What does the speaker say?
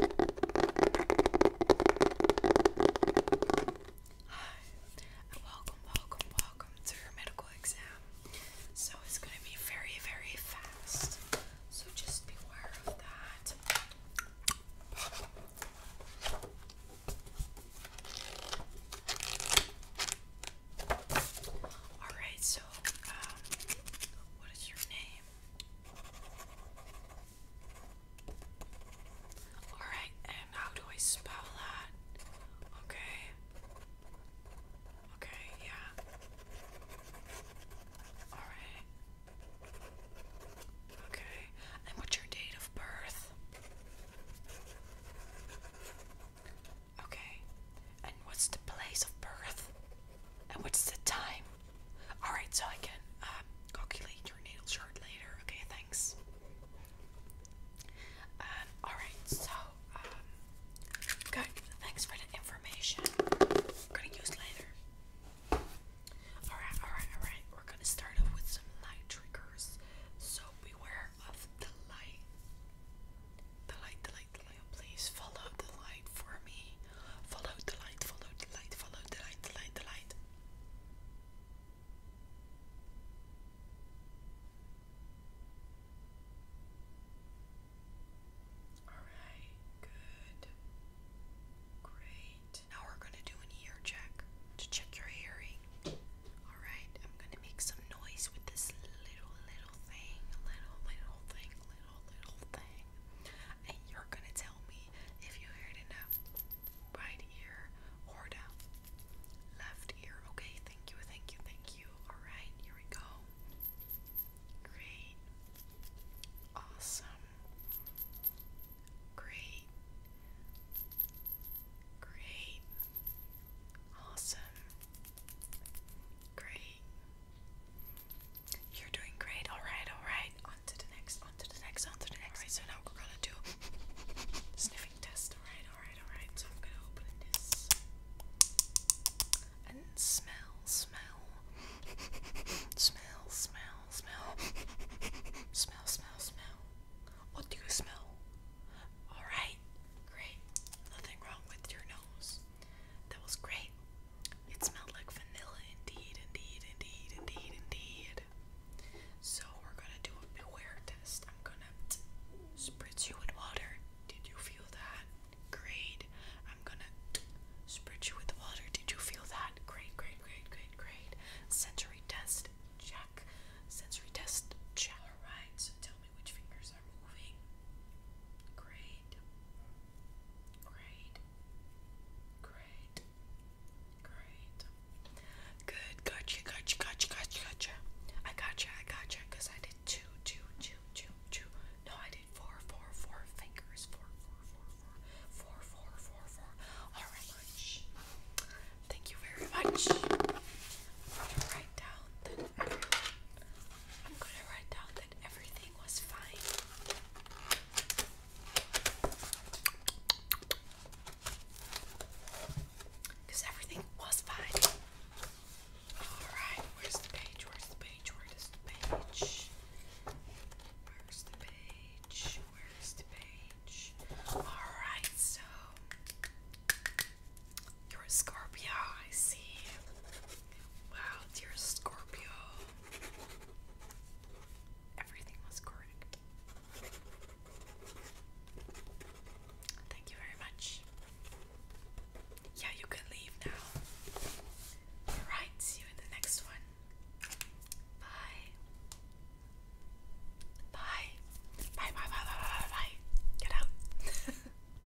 Hi, and welcome, welcome, welcome to your medical exam. So it's going to be very, very fast. So just beware of that. Alright, so, um, what is your name? Alright, and how do I spell that? Okay. Okay, yeah. Alright. Okay. And what's your date of birth? Okay. And what's the place of birth? And what's the time? Alright, so I can um, calculate your natal chart later. Okay, thanks. Um, Alright, so, um, good. Thanks for the information. I'm gonna use later. Alright, alright, alright. We're gonna start off with some light triggers. So beware of the light. The light, the light, the light please follow the light for me? Follow the light, follow the light, follow the light, the light, the light. Alright, good. Great. Now we're going to do an ear check to check your hearing. Alright, I'm going to make some noise with this little, little thing. Little, little thing, little, little thing and you're gonna tell me if you hear it right ear or the left ear. Okay, thank you, thank you, thank you. Alright, here we go. Great. Awesome. Great. Great. Awesome. Great. You're doing great. All right, all right. On to the next, on to the next, on to the next. All right, so now we're gonna do sniffing test. All right, all right, all right. So I'm gonna open this and smell, smell, smell, smell, smell, smell, smell, smell. What do you smell? All right, great. Nothing wrong with your nose. That was great. It smelled like vanilla indeed, indeed, indeed, indeed, indeed. So we're gonna do a beware test. I'm gonna spritz you with water. Did you feel that? Great. I'm gonna spritz you with water. Did you feel that? Great, great, great, great, great. Sensory test, check. Sensory test, check. Alright, so tell me which fingers are moving. Great. Great. Great. Great. Good. Gotcha. Gotcha. Gotcha. Gotcha. Gotcha. I gotcha. I gotcha. I did two, two, two, two, two. No, I did four, four, four fingers. Four, four, four, four, four, four, four, four. All right. Thank you very much. I'm gonna write down I'm gonna write down because everything was fine. Alright, where's the page? Where's the page? Where is the page? Where's the page? Where's the page? Alright, so you're a Scorpio, I see. Wow, dear Scorpio. Everything was correct. Thank you very much. Yeah, you can leave now. Alright, see you in the next one. Bye. Bye. Bye, bye, bye, bye, bye, Get out.